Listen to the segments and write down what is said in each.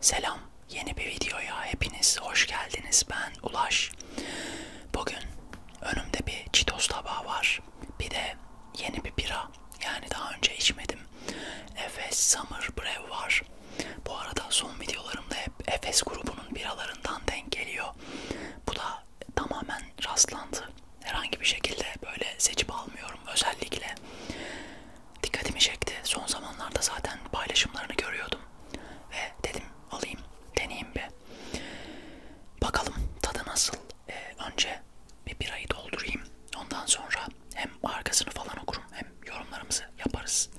Selam, yeni bir videoya hepiniz hoş geldiniz. Ben Ulaş. Bugün önümde bir çitos tabağı var. Bir de yeni bir bira. Yani daha önce içmedim. Efes Summer Brew var. Bu arada son videolarımda hep Efes grubunun biralarından denk geliyor. Bu da tamamen rastlantı. Herhangi bir şekilde böyle seçip almıyorum özellikle dikkatimi çekti. Son zamanlarda zaten paylaşımlarını görüyordum. Ve dedim alayım, deneyeyim bir. Bakalım tadı nasıl. Ee, önce bir birayı doldurayım. Ondan sonra hem arkasını falan okurum hem yorumlarımızı yaparız.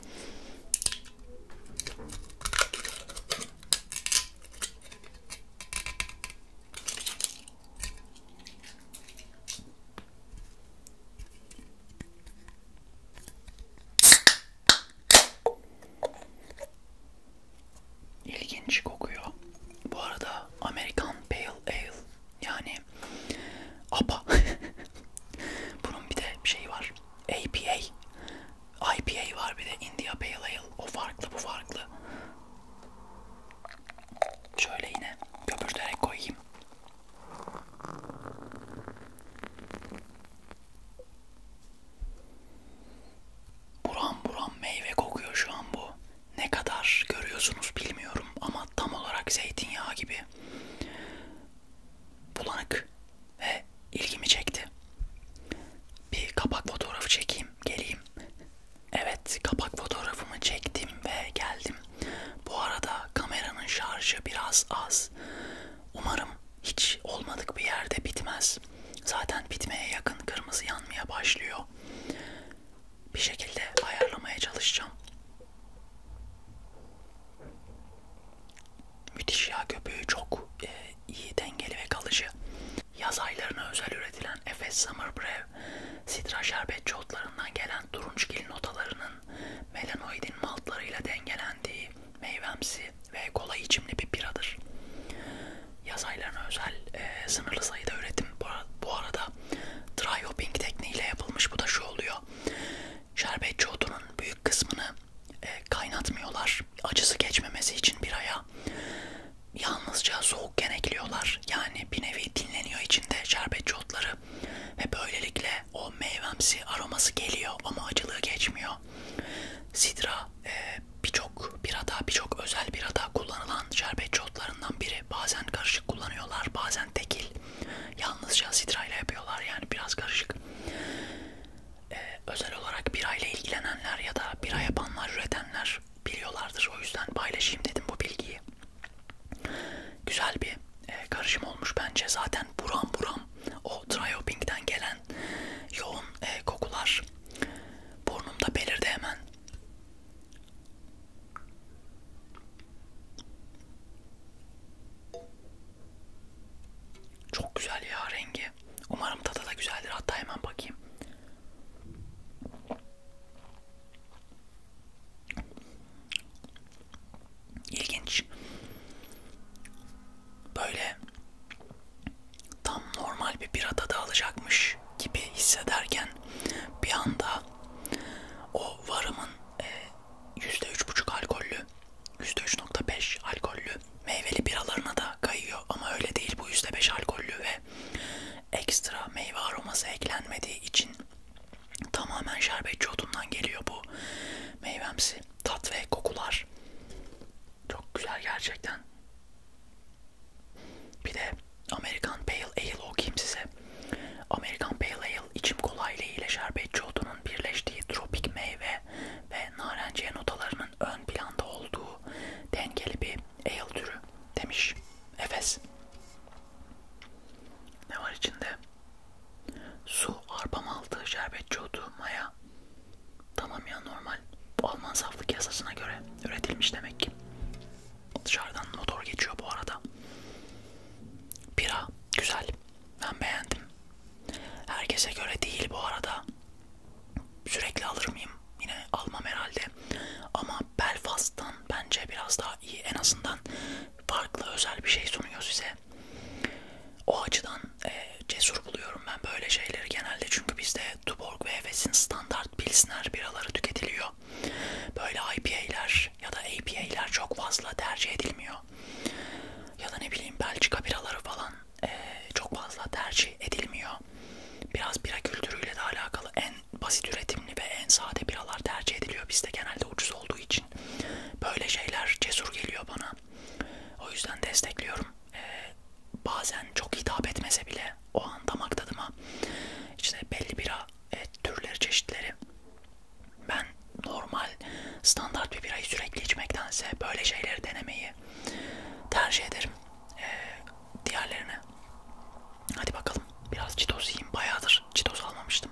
İlginç kokuyor. Bu arada American Pale Ale yani APA. Bunun bir de şey var. APA. IPA var bir de India Pale Ale. O farklı bu farklı. Şöyle yine köpürterek koyayım. Buram buram meyve kokuyor şu an bu. Ne kadar görüyorsunuz bilmiyorum ama tam olarak zeytinyağı gibi bulanık ve ilgimi çekti. Bir kapak fotoğrafı çekeyim, geleyim. Evet, kapak fotoğrafımı çektim ve geldim. Bu arada kameranın şarjı biraz az. Umarım hiç olmadık bir yerde bitmez. Zaten bitmeye yakın kırmızı yanmaya başlıyor. Bir şekilde ayarlamaya çalışacağım. Müthiş ya köpüğü çok e, iyi dengeli ve kalıcı. Yaz aylarına özel üretilen Efes Summer Brew, sitra şerbetçi otlarından gelen turunçgil notalarının melanoidin maltlarıyla dengelendiği meyvemsi ve kolay içimli bir biradır. Yaz aylarına özel e, sınırlı sayıda üretim bu arada dry hopping tekniğiyle yapılmış. Bu da şu oluyor. Şerbetçi otunun büyük kısmını e, kaynatmıyorlar. Acısı geçmemesi için biraya. Yalnızca soğukken ekliyorlar. Yani bir nevi dinleniyor içinde şerbetçi otları. Ve böylelikle o meyvemsi aroması geliyor ama acılığı geçmiyor. Sidra e, birçok birada, birçok özel birada kullanılan şerbetçi otlarından biri. Bazen karışık kullanıyorlar, bazen tekil. Yalnızca sidrayla yapıyorlar yani biraz karışık. E, özel olarak birayla ilgilenenler ya da bira yapanlar, üretenler biliyorlardır. O yüzden paylaşayım dedim bu bilgiyi. Güzel bir e, karışım olmuş bence. Zaten buram buram o Trioping'den gelen yoğun e, kokular burnumda belirdi hemen. Çok güzel ya rengi. Umarım tadı da güzeldir. Hatta hemen bakayım. İlginç. Böyle tam normal bir birada da alacakmış gibi hissederken bir anda o varımın e, yüzde üç buçuk alkollü, yüzde üç nokta beş alkollü meyveli biralarına da kayıyor ama öyle değil bu yüzde beş alkollü ve ekstra meyve aroması eklenmediği için Tamamen şerbetçi otundan geliyor bu meyvemsi tat ve kokular. Çok güzel gerçekten. Bir de American Pale Ale okuyayım size. American Pale Ale içim kolaylığı ile şerbetçi otunun birleştiği tropik meyve ve narenciye notalarının ön planda olduğu dengeli bir ale türü demiş Efes. Ne var içinde? Su arpam aldı şerbetçi otu maya. Tamam ya normal. Bu Alman saflık yasasına göre üretilmiş demek ki. Dışarıdan motor geçiyor bu arada. Bira güzel. Ben beğendim. Herkese göre değil bu arada. Sürekli alır mıyım? Yine almam herhalde. Ama Belfast'tan bence biraz daha iyi. En azından farklı özel bir şey sunuyor size. O açıdan e, cesur buluyorum ben böyle şeyleri genelde çünkü bizde Tuborg ve Hefes'in standart pilsner biraları tüketiliyor. Böyle IPA'ler ya da APA'ler çok fazla tercih edilmiyor. Ya da ne bileyim Belçika biraları falan e, çok fazla tercih edilmiyor. Biraz bira kültürüyle de alakalı en basit üretimli ve en sade biralar tercih ediliyor bizde genelde ucuz olduğu için için böyle şeyler cesur geliyor bana. O yüzden destekliyorum. Ee, bazen çok hitap etmese bile o an damak tadıma işte belli bira evet, türleri çeşitleri ben normal standart bir birayı sürekli içmektense böyle şeyleri denemeyi tercih ederim ee, diğerlerine. Hadi bakalım biraz çitos yiyeyim. Bayağıdır çitos almamıştım.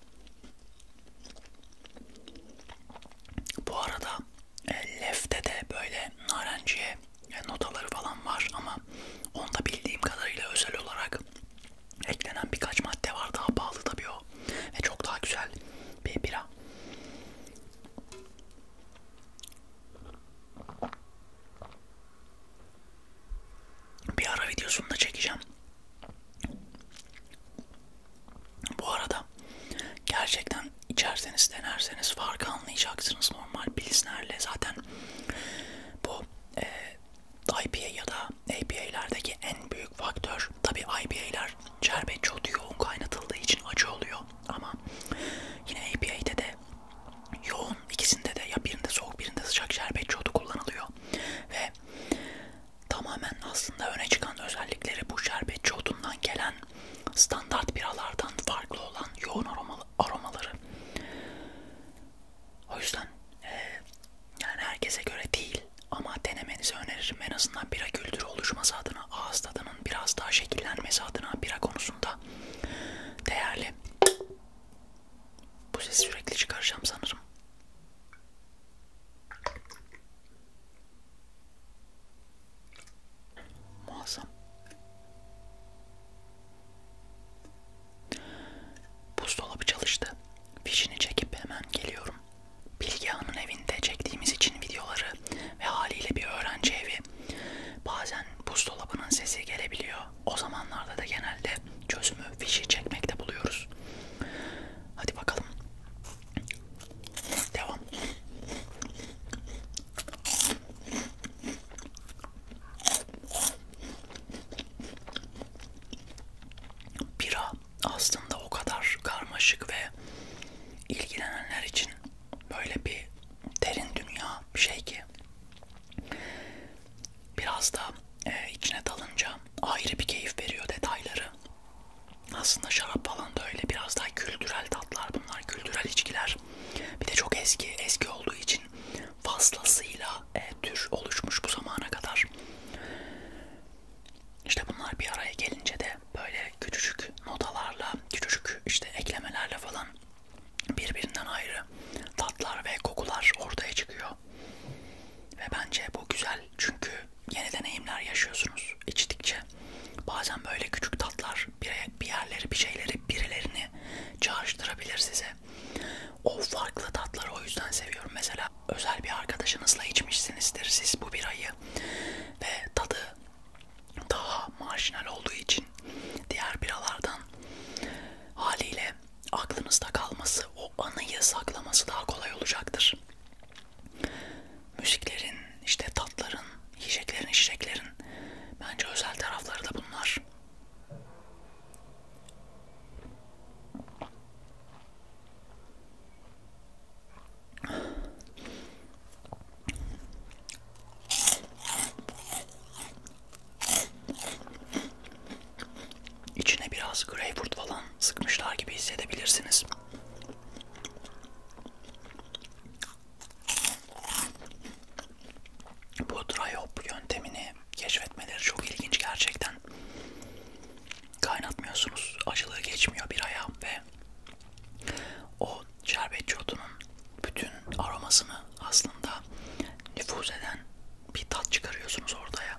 Bu arada e, lefte de böyle narenciye e, notaları falan var ama onda bildiğim kadarıyla özel olarak eklenen birkaç madde var daha pahalı tabii o ve çok daha güzel bir bira. Bir ara videosunu da çekeceğim. Bu arada gerçekten içerseniz denerseniz farkı anlayacaksınız normal pilsnerle zaten bu e, IPA ya da APA'lerdeki en büyük faktör tabi IPA'ler şerbet çok yoğun kaynatıldığı için acı oluyor ama yine APA'de de yoğun ikisinde de ya birinde soğuk birinde sıcak şerbet çoğu kullanılıyor ve tamamen aslında öne çıkan özellikleri bu şerbetçi odundan gelen standart biralardan farklı olan yoğun aromalı, aromaları. O yüzden e, yani herkese göre değil ama denemenizi öneririm. En azından bira kültürü oluşması adına, ağız tadının biraz daha şekillenmesi adına bira konusunda değerli. Bu sesi sürekli çıkaracağım sanırım. Muazzam. Buzdolabı çalıştı. Fişini çekip hemen geliyorum. Bilge Hanım'ın evinde çektiğimiz için videoları ve haliyle bir öğrenci evi. Bazen buzdolabının sesi gelebiliyor. O zamanlarda da genelde çözümü fişi çekmekte buluyoruz. Hadi bakalım. Devam. Bira aslında o kadar karmaşık ve ilgilenenler için böyle bir derin dünya bir şey ki biraz da e, içine dalınca ayrı bir keyif veriyor detayları. Aslında şarap falan da öyle biraz daha kültürel tatlar bunlar, kültürel içkiler. Bir de çok eski, eski olduğu için fazlasıyla e, tür oluşmuş bu zamana kadar. İşte bunlar bir araya gelince de böyle küçücük notalarla, küçücük işte eklemelerle falan birbirinden ayrı tatlar ve kokular ortaya çıkıyor. Ve bence bu güzel çünkü yeni deneyimler yaşıyorsunuz içtikçe. Bazen böyle küçük tatlar bir yerleri bir şeyleri birilerini çağrıştırabilir size. O farklı tatları o yüzden seviyorum. Mesela özel bir arkadaşınızla içmişsinizdir siz bu birayı ve tadı daha marjinal olduğu için diğer biralardan haliyle ve aklınızda kalması, o anıyı saklaması daha kolay olacaktır. Müziklerin, işte tatların, yiyeceklerin, içeceklerin bence özel tarafları da bunlar. İçine biraz greyfurt falan sıkmışlar gibi hissedebilirsiniz. Bu dry hop yöntemini keşfetmeleri çok ilginç gerçekten. Kaynatmıyorsunuz, acılığı geçmiyor bir aya ve o şerbetçi otunun bütün aromasını aslında nüfuz eden bir tat çıkarıyorsunuz ortaya.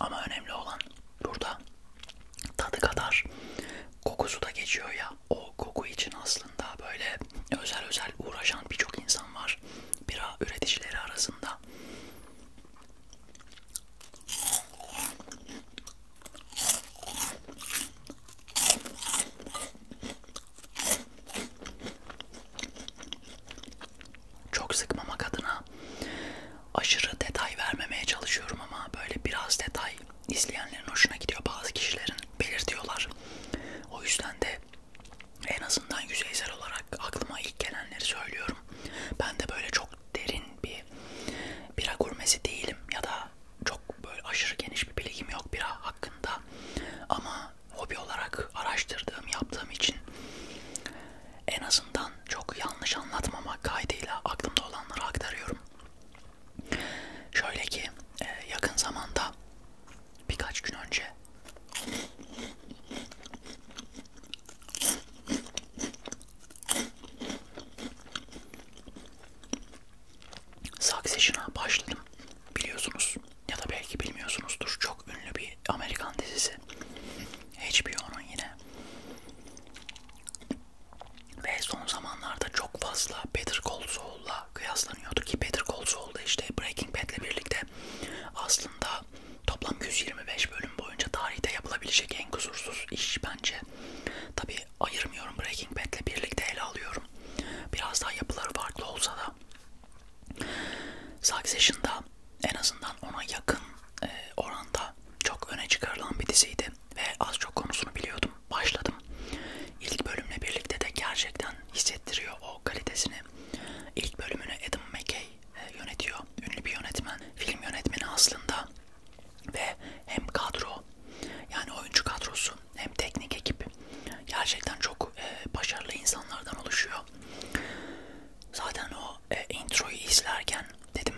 Ama önemli olan burada tadı kadar kokusu da geçiyor ya. O koku için aslında böyle özel özel uğraşan birçok insan var. Bira üreticileri arasında. Çok sıkmamak adına aşırı detay vermemeye çalışıyorum ama böyle biraz detay izleyenlerin hoşuna gidiyor bazı kişilerin belirtiyorlar. O yüzden de en azından yüzeysel olarak aklıma ilk gelenleri söylüyorum. Ben de böyle çok derin bir bira gurmesi değilim ya da çok böyle aşırı geniş bir bilgim yok bira hakkında ama hobi olarak araştırdığım, yaptığım için en azından çok yanlış anlatmamak kaydıyla aklımda olanları aktarıyorum. Şöyle ki e, yakın zamanda birkaç gün önce Succession'a başladım biliyorsunuz ya da belki bilmiyorsunuzdur çok ünlü bir Amerikan dizisi HBO'nun yine ve son zamanlarda çok fazla Better Call Saul'la kıyaslanıyordu ki Better Call Saul'da işte Breaking Bad'le birlikte aslında toplam 125 bölüm boyunca tarihte yapılabilecek en kusursuz iş bence. Tabi ayırmıyorum Breaking Bad'le birlikte ele alıyorum. Biraz daha yapıları farklı olsa da Succession'da en azından ona yakın e, oranda çok öne çıkarılan bir diziydi ve az çok konusunu biliyordum. Başladım. İlk bölümle birlikte de gerçekten hissettiriyor o kalitesini. İlk bölümünü Adam McKay e, yönetiyor. Ünlü bir yönetmen. Film yönetmeni aslında ve hem kadro yani oyuncu kadrosu hem teknik ekip gerçekten çok e, başarılı insanlardan oluşuyor oluyor. Zaten o e, introyu izlerken dedim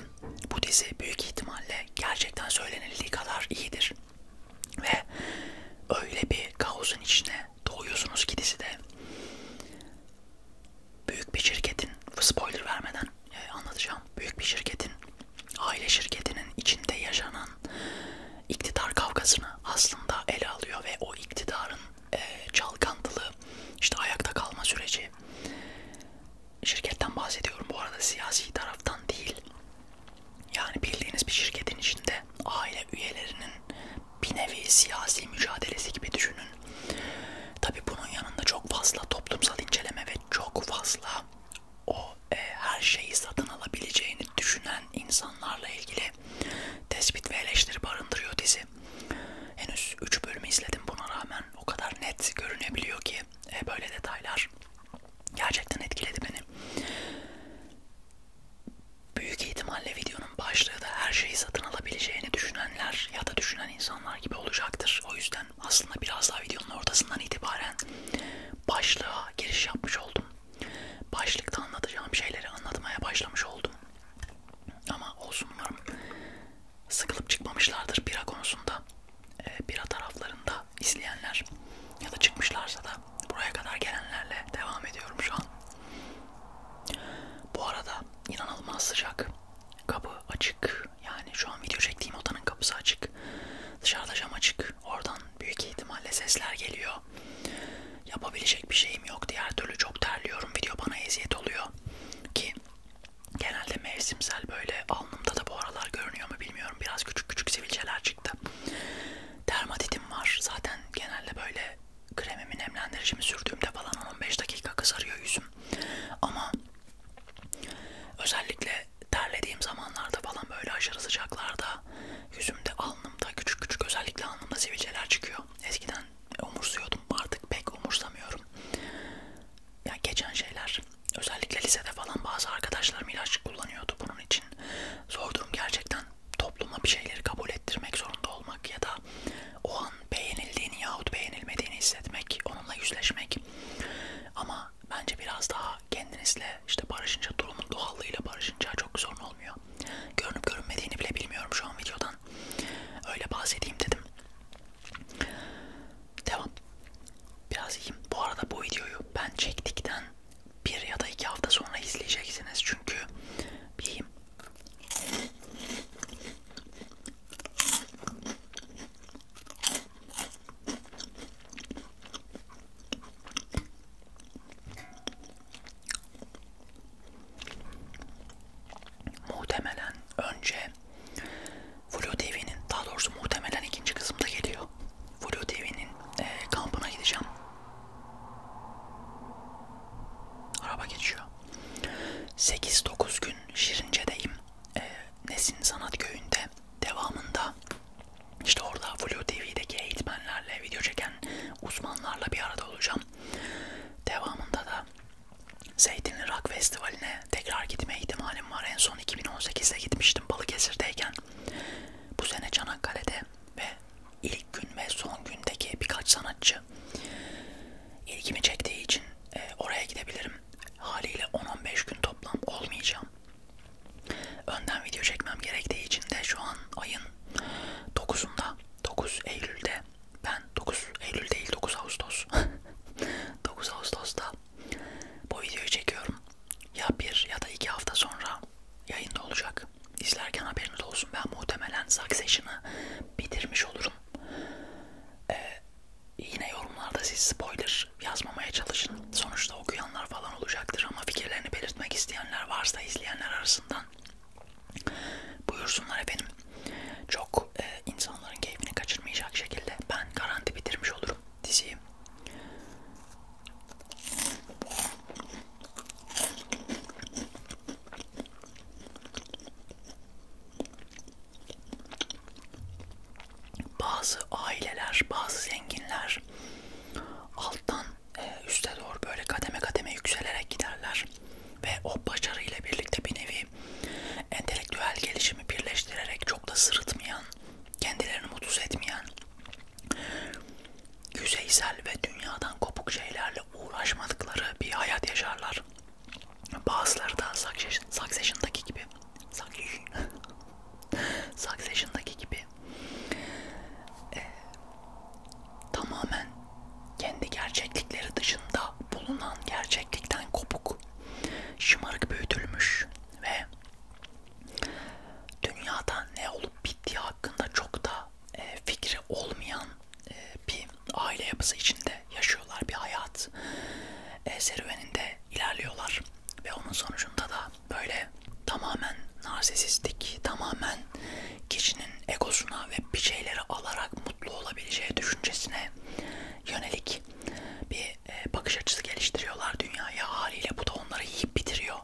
bu dizi büyük ihtimalle gerçekten söylenildiği kadar iyidir. Ve öyle bir kaosun içine doğuyorsunuz ki dizide büyük bir şirketin, spoiler vermeden e, anlatacağım, büyük bir şirketin, aile şirketinin içinde yaşanan iktidar kavgasını aslında ele alıyor ve o iktidarın e, çalkantılı işte ayakta kalma süreci şirketten bahsediyorum bu arada siyasi taraftan değil yani bildiğiniz bir şirketin içinde aile üyelerinin bir nevi siyasi mücadelesi gibi düşünün tabi bunun yanında çok fazla toplumsal inceleme ve çok fazla o e, her şeyi satın alabileceğini düşünen insanlarla ilgili tespit ve eleştiri barındırıyor dizi. Henüz 3 bölümü izledim buna rağmen o kadar net görünebiliyor ki e, böyle detaylar gerçekten etkiledi beni. Büyük ihtimalle videonun başlığı da her şeyi satın alabileceğini düşünenler ya da düşünen insanlar gibi olacaktır. O yüzden aslında biraz daha videonun ortasından itibaren başlığa giriş yapmış oldum. Başlıkta anlatacağım şeyleri anlatmaya başlamış oldum. Ama olsun umarım sıkılıp çıkmamışlardır bira konusunda. E, bira taraflarında izleyenler ya da çıkmışlarsa da buraya kadar gelenlerle devam ediyorum şu an. Bu arada inanılmaz sıcak. Kapı açık. Yani şu an video çektiğim odanın kapısı açık. Dışarıda cam açık. Oradan büyük ihtimalle sesler geliyor. Yapabilecek bir şeyim yok. Diğer türlü çok terliyorum. Video bana eziyet oluyor. Ki genelde mevsimsel böyle alnımda da bu aralar görünüyor mu bilmiyorum. Biraz küçük küçük sivilceler çıktı. Dermatitim var. Zaten genelde böyle kremimi nemlendiricimi sürdüğümde falan 15 dakika kızarıyor yüzüm. Ama özellikle terlediğim zamanlarda falan böyle aşırı sıcaklarda yüzümde alnımda küçük küçük özellikle alnımda sivilceler çıkıyor. Eskiden umursuyordum. Artık pek umursamıyorum. Ya geçen şeyler. Özellikle lisede falan bazı arkadaşlarım ilaç kullanıyordu bunun için. Zor durum gerçekten topluma bir şeyleri kabul ettirmek zorunda olmak ya da o an beğenildiğini yahut beğenilmediğini hissetmek, onunla yüzleşmek. Ama bence biraz daha kendinizle işte barışınca durumun doğallığıyla barışınca çok sorun olmuyor. Görünüp görünmediğini bile bilmiyorum şu an videodan. Öyle bahsedeyim dedim. Devam. Biraz yiyeyim. Bu arada bu videoyu ben çektikten bir ya da iki hafta sonra izleyeceksiniz. Çünkü yiyeyim. Muhtemelen önce Flu TV'nin daha doğrusu muhtemelen ikinci kısımda geliyor. Flu TV'nin e, kampına gideceğim. Araba geçiyor. 8-9 gün Şirince'deyim. E, Nesin Sanat Köyü'nde devamında işte orada Flu TV'deki eğitmenlerle, video çeken uzmanlarla bir arada olacağım. Devamında da Zeytinli Rock Festivali'ne tekrar gitme ihtimalim var. En son 2018'de gitmiştim Balıkesir'deyken. Bu sene Çanakkale'de ve ilk gün ve son gündeki birkaç sanatçı ilgimi çektiği için e, oraya gidebilirim. Haliyle 10-15 gün toplam olmayacağım. Önden video çekmem gerektiği için de şu an ayın 9'unda 9 Eylül'de ben 9 Eylül değil 9 Ağustos 9 Ağustos'ta bu videoyu çekiyorum. Ya bir ya da iki hafta sonra yayında olacak. İzlerken haberiniz olsun. Ben muhtemelen Succession'ı bitirmiş olurum. Ee, yine yorumlarda siz spoiler yazmamaya çalışın. Sonuçta okuyanlar falan olacaktır ama fikirlerini belirtmek isteyenler varsa izleyenler arasından Buyursunlar efendim. Çok e, insanların keyfini kaçırmayacak şekilde ben garanti bitirmiş olurum diziyi. Bazı aileler, bazı zenginler alttan ee, üste doğru böyle kademe kademe yükselerek giderler ve o başarıyla birlikte bir nevi entelektüel gelişimi birleştirerek çok da sırıtmayan, kendilerini mutsuz etmeyen, yüzeysel ve dünyadan kopuk şeylerle uğraşmadıkları bir hayat yaşarlar. Bazıları da Succession'daki gibi Succession'daki gibi ee, tamamen kendi gerçeklikleri dışında bulunan gerçeklikten kopuk, şımarık büyütülmüş ve dünyada ne olup bittiği hakkında çok da e, fikri olmayan e, bir aile yapısı içinde yaşıyorlar bir hayat e, serüveninde ilerliyorlar ve onun sonucunda da böyle tamamen narsisistik, tamamen kişinin egosuna ve bir şeyleri alarak mutlu olabileceği düşüncesine yönelik bir e, bakış açısı geliştiriyorlar dünyaya haliyle bu da onları yiyip bitiriyor.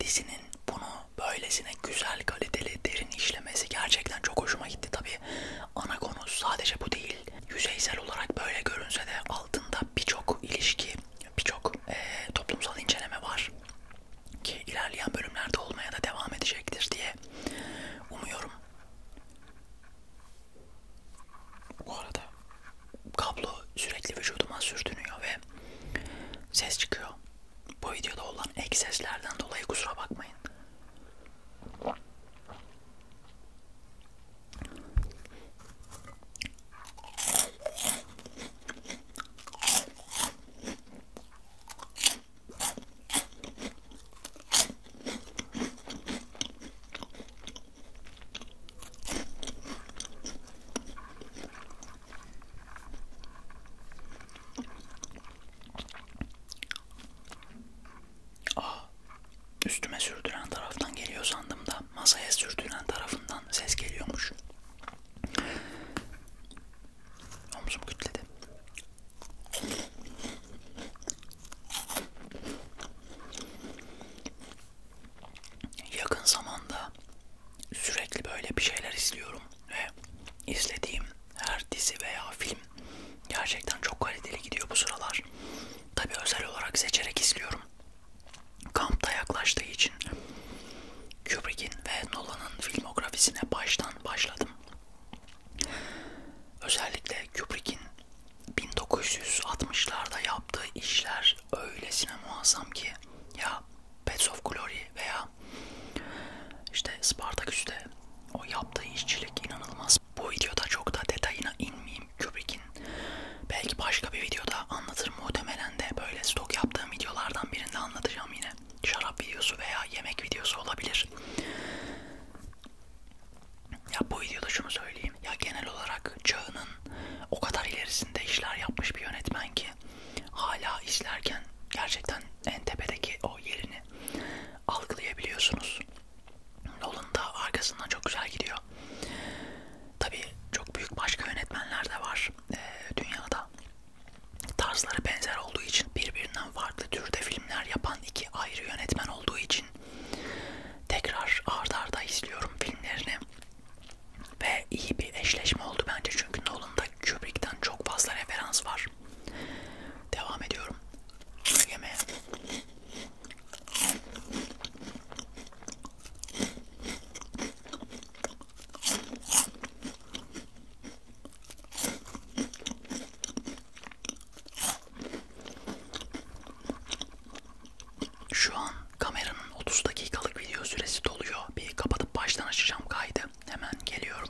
Dizinin bunu böylesine güzel kaliteli derin işlemesi gerçekten çok hoşuma gitti tabi ana konu sadece bu değil yüzeysel olarak böyle görünse de altında birçok ilişki birçok e, toplumsal inceleme var ki ilerleyen bölümlerde olmaya da devam edecektir diye umuyorum. Bu arada kablo sürekli vücuduma sürtünüyor ve ses çıkıyor. Bu videoda olan ek seslerden dolayı kusura bakmayın. Ah, üstüme sürdüren taraftan geliyor sandım da masaya sürdüren tarafından ses geliyormuş. Omzum kütledi. Yakın zamanda sürekli böyle bir şeyler izliyorum ve izlediğim her dizi veya film gerçekten çok kaliteli gidiyor bu sıralar. Tabi özel olarak seçerek izliyorum. Kampta yaklaştığı için Kubrick'in ve Nolan'ın filmografisine baştan başladım. Özellikle Kubrick'in 1960'larda yaptığı işler öylesine muazzam ki ya Pets of Glory veya işte Spartaküs'te o yaptığı işçilik inanılmaz. Bu videoda çok da detayına inmeyeyim Kubrick'in. Belki başka bir videoda anlatır muhtemelen de böyle stok yaptığım videolardan birinde anlatacağım yine şarap videosu veya yemek videosu olabilir. Ya bu videoda şunu söyleyeyim. Ya genel olarak çağının o kadar ilerisinde işler yapmış bir yönetmen ki hala izlerken gerçekten en tepedeki o yerini algılayabiliyorsunuz. Nolan da arkasından çok güzel gidiyor. Tabii çok büyük başka yönetmenler de var e, dünyada. Tarzları benzer olduğu için birbirinden farklı türde filmler yapan iki ayrı yönetmen olduğu için tekrar ardarda arda izliyorum filmlerini ve iyi bir eşleşme oldu bence çünkü Nolan'da Kubrick'ten çok fazla referans var. Devam ediyorum yemeğe. Şu an kameranın 30 dakikalık video süresi doluyor. Bir kapatıp baştan açacağım kaydı. Hemen geliyorum.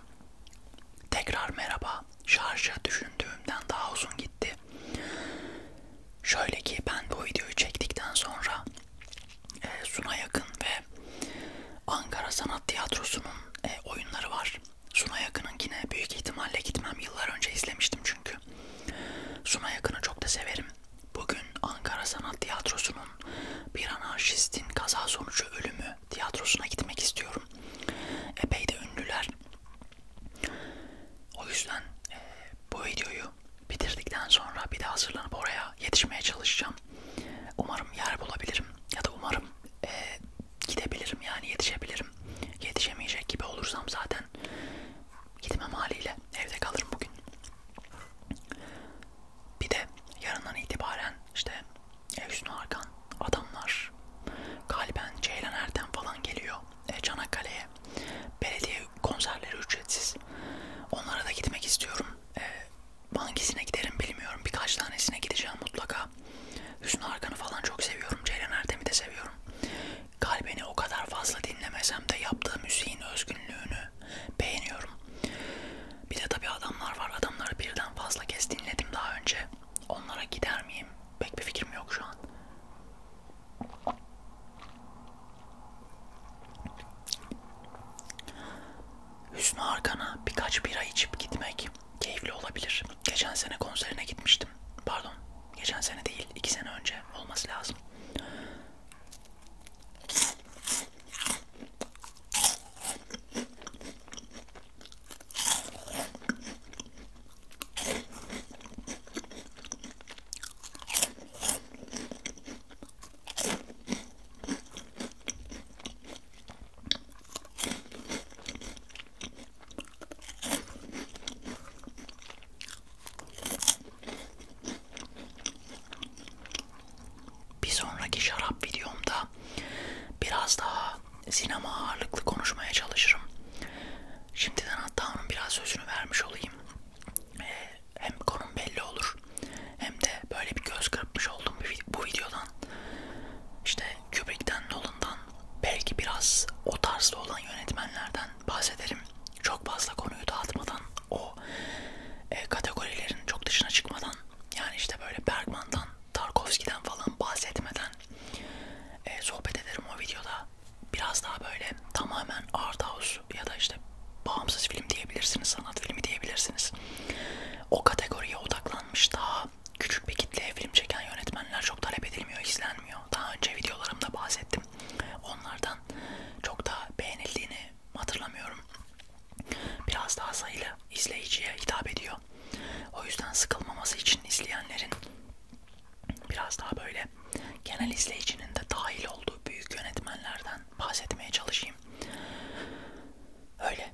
Tekrar merhaba. Şarja düşündüğümden daha uzun gitti. Şöyle ki ben bu videoyu çektikten sonra e, Suna Yakın ve Ankara Sanat Tiyatrosu'nun e, oyunları var. Suna Yakın'ınkine büyük ihtimalle gitmem. Yıllar önce izlemiştim çünkü. Suna Yakın'ı çok da severim. Bugün Ankara Sanat Tiyatrosu'nun Bir Anarşistin Kaza Sonucu Ölümü tiyatrosuna gitmek istiyorum. Epey de ünlüler. O yüzden e, bu videoyu bitirdikten sonra bir de hazırlanıp oraya yetişmeye çalışacağım çalışacağım. Umarım yer bulabilirim ya da umarım e, gidebilirim yani yetişebilirim. Yetişemeyecek gibi olursam zaten gitmem haliyle evde kalırım bugün. Bir de yarından itibaren işte Evsun Arkan, adamlar, Kalben, Ceylan Erden falan geliyor e, Çanakkale'ye. Belediye konserleri ücretsiz. Onlara da gitmek istiyorum. E, hangisine giderim bilmiyorum. Birkaç tanesine gideceğim mutlaka. Hüsnü Arkan'ı falan çok seviyorum. Ceylan Erdem'i de seviyorum. Kalbini o kadar fazla dinlemesem de yaptığı müziğin özgünlüğünü beğeniyorum. Bir de tabii adamlar var. Adamları birden fazla kez dinledim daha önce. Onlara gider miyim? Pek bir fikrim yok şu an. Hüsnü Arkan'a birkaç bira içip gitmek keyifli olabilir. Geçen sene konserine gitmiştim. Pardon, geçen sene değil, iki sene önce olması lazım. Bir sonraki şarap videomda biraz daha sinema ağırlıklı konuşmaya çalışırım. Şimdiden hatta onun biraz sözünü vermiş olayım. Ee, hem konum belli olur hem de böyle bir göz kırpmış oldum bu videodan. İşte Kubrick'ten Nolan'dan belki biraz o tarzda olan yönetmenlerden bahsederim. Çok fazla konuyu dağıtmadan o e, kategorilerin çok dışına çıkmadan yani işte böyle Bergman'dan Tarkovski'den falan bahsetmeden e, sohbet ederim o videoda. Biraz daha böyle tamamen art house ya da işte bağımsız film diyebilirsiniz, sanat filmi diyebilirsiniz o kategoriye odaklanmış daha küçük bir kitleye film çeken yönetmenler çok talep edilmiyor, izlenmiyor. Daha önce videolarımda bahsettim. Onlardan çok da beğenildiğini hatırlamıyorum. Biraz daha sayılı izleyiciye hitap ediyor. O yüzden sıkılmaması için izleyenlerin biraz daha böyle genel izleyicinin de dahil olduğu büyük yönetmenlerden bahsetmeye çalışayım. Öyle.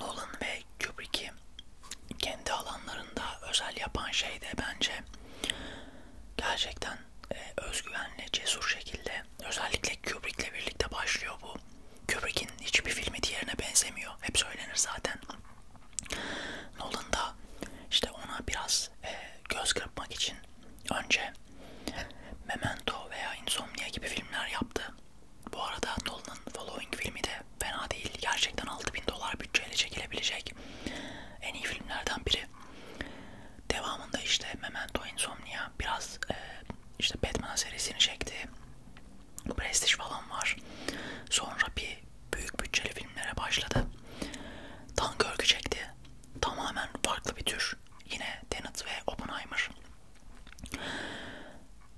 Nolan ve Kubrick'i kendi alanlarında özel yapan şey de bence gerçekten e, özgüvenli, cesur şekilde özellikle Kubrick'le birlikte başlıyor bu. Kubrick'in hiçbir filmi diğerine benzemiyor. Hep söylenir zaten. Nolan da işte ona biraz e, göz kırpmak için önce Memento veya Insomnia gibi filmler yaptı. Bu arada Nolan'ın Following filmi de fena değil. Gerçekten 6000 dolar bütçeyle çekilebilecek en iyi filmlerden biri. Devamında işte Memento, Insomnia biraz e, işte Batman serisini çekti. Prestige falan var. Sonra bir büyük bütçeli filmlere başladı. Tank örgü çekti. Tamamen farklı bir tür. Yine Tenet ve Oppenheimer.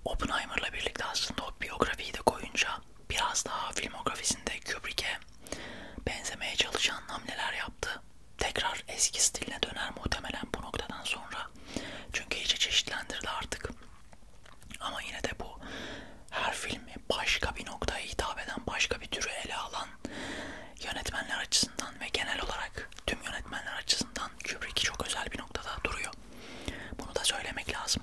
Oppenheimer'la birlikte aslında o biyografiyi de koyunca biraz daha filmografisinde Kubrick'e benzemeye çalışan hamleler yaptı. Tekrar eski stiline döner muhtemelen bu noktadan sonra. Çünkü iyice çeşitlendirdi artık. Ama yine de bu her filmi başka bir noktaya hitap eden, başka bir türü ele alan yönetmenler açısından ve genel olarak tüm yönetmenler açısından Kubrick çok özel bir noktada duruyor. Bunu da söylemek lazım.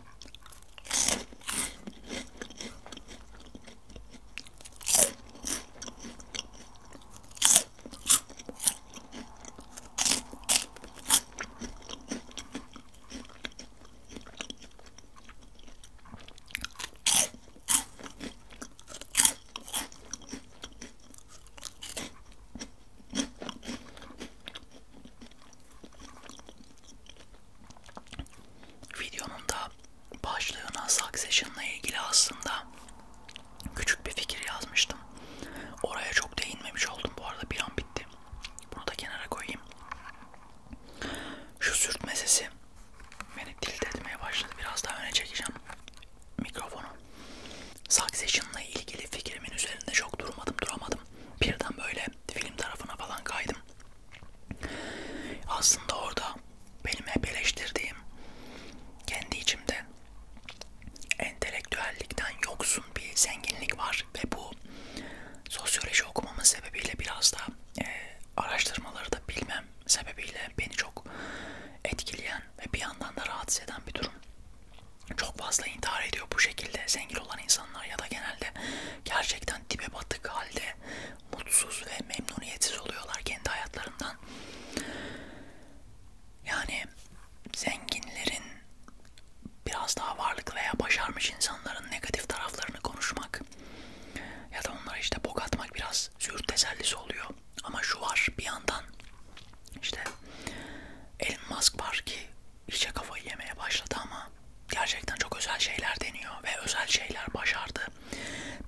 Videonun da başlığına Succession'la ilgili aslında küçük bir fikir yazmıştım. Oraya çok değinmemiş oldum bu arada bir an bitti. Bunu da kenara koyayım. Şu sürtme sesi beni tilt etmeye başladı. Biraz daha öne çekeceğim mikrofonu. Succession'la ilgili fikrimin üzerinde çok durmadım duramadım. Birden böyle film tarafına falan kaydım. Aslında orada benim hep eleştirdiğim kendi içimde entelektüellikten yoksun bir zenginlik var var ve bu sosyoloji okumamın sebebiyle biraz da e, araştırmaları da bilmem sebebiyle beni çok etkileyen ve bir yandan da rahatsız eden bir durum. Çok fazla intihar ediyor bu şekilde zengin olan insanlar ya da genelde gerçekten dibe batık halde mutsuz ve memnuniyetsiz oluyorlar kendi hayatlarından. Yani zenginlerin biraz daha varlıklı veya başarmış insanların negatif taraflarını konuşmak ya da onlara işte bok atmak biraz züğürt tesellisi oluyor. Ama şu var bir yandan işte Elon Musk var ki işe kafayı yemeye başladı ama gerçekten çok özel şeyler deniyor ve özel şeyler başardı.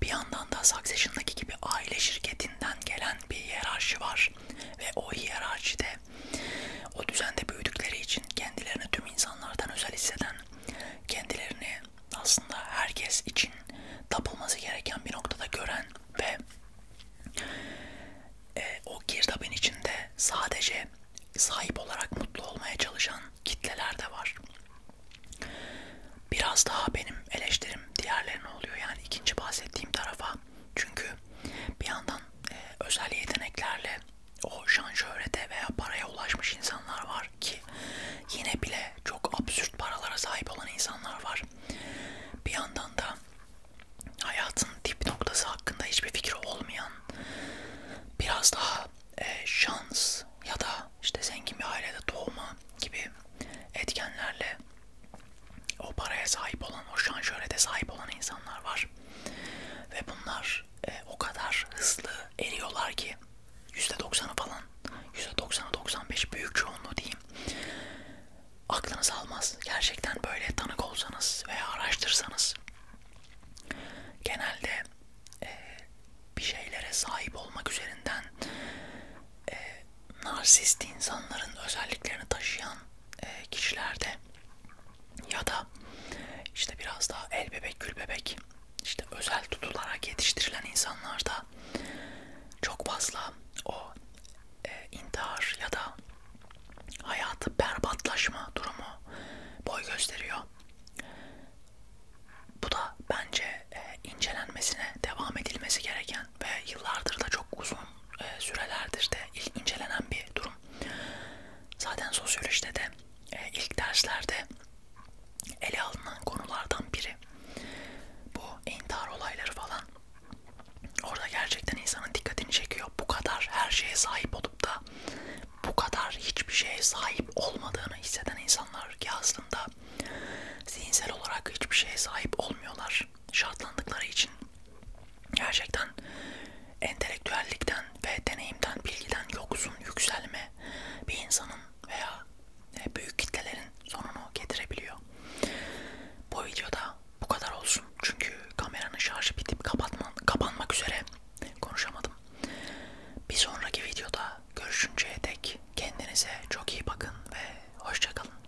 Bir yandan da Succession'daki gibi aile şirketinden gelen bir hiyerarşi var ve o hiyerarşide o düzende büyüdükleri için kendilerini tüm insanlardan özel hisseden kendilerini aslında herkes için tapılması gereken bir noktada gören ve e, o girdabın içinde sadece sahip olarak mutlu olmaya çalışan kitleler de var. Biraz daha benim eleştirim diğerlerine oluyor yani ikinci bahsettiğim tarafa. Çünkü bir yandan e, özel yeteneklerle o şan şöhrete veya paraya ulaşmış insanlar var ki yine bile çok absürt paralara sahip olan insanlar var. Bir yandan da hayatın dip noktası hakkında hiçbir fikri olmayan biraz daha e, şans ya da işte zengin bir ailede doğma gibi etkenlerle o paraya sahip olan, o şan şöhrete sahip olan insanlar var. Ve bunlar kadar e, o kadar hızlı eriyorlar ki %90'ı falan %90'ı 95 büyük çoğunluğu diyeyim aklınız almaz gerçekten böyle tanık olsanız veya araştırsanız genelde e, bir şeylere sahip olmak üzerinden e, narsist insanların özelliklerini taşıyan e, kişilerde ya da işte biraz daha el bebek gül bebek işte özel tutularak yetiştirilen insanlarda çok fazla o e, intihar ya da hayatı berbatlaşma durumu boy gösteriyor. Bu da bence e, incelenmesine devam edilmesi gereken ve yıllardır da çok uzun e, sürelerdir de incelenen bir durum. Zaten sosyolojide de e, ilk derslerde ele alınan konulardan biri. Bu intihar olayları falan. Orada gerçekten insanın dikkatini çekiyor. Bu kadar her şeye sahip olup da bu kadar hiçbir şeye sahip olmadığını hisseden insanlar ki aslında zihinsel olarak hiçbir şeye sahip olmuyorlar şartlandıkları için. Gerçekten entelektüellikten ve deneyimden, bilgiden yoksun yükselme bir insanın veya e, büyük kitlelerin sonunu getirebiliyor. Bu videoda bu kadar olsun. Çünkü kameranın şarjı bitip kapatma, kapanmak üzere konuşamadım. Bir sonraki videoda görüşünceye dek kendinize çok iyi bakın ve hoşçakalın.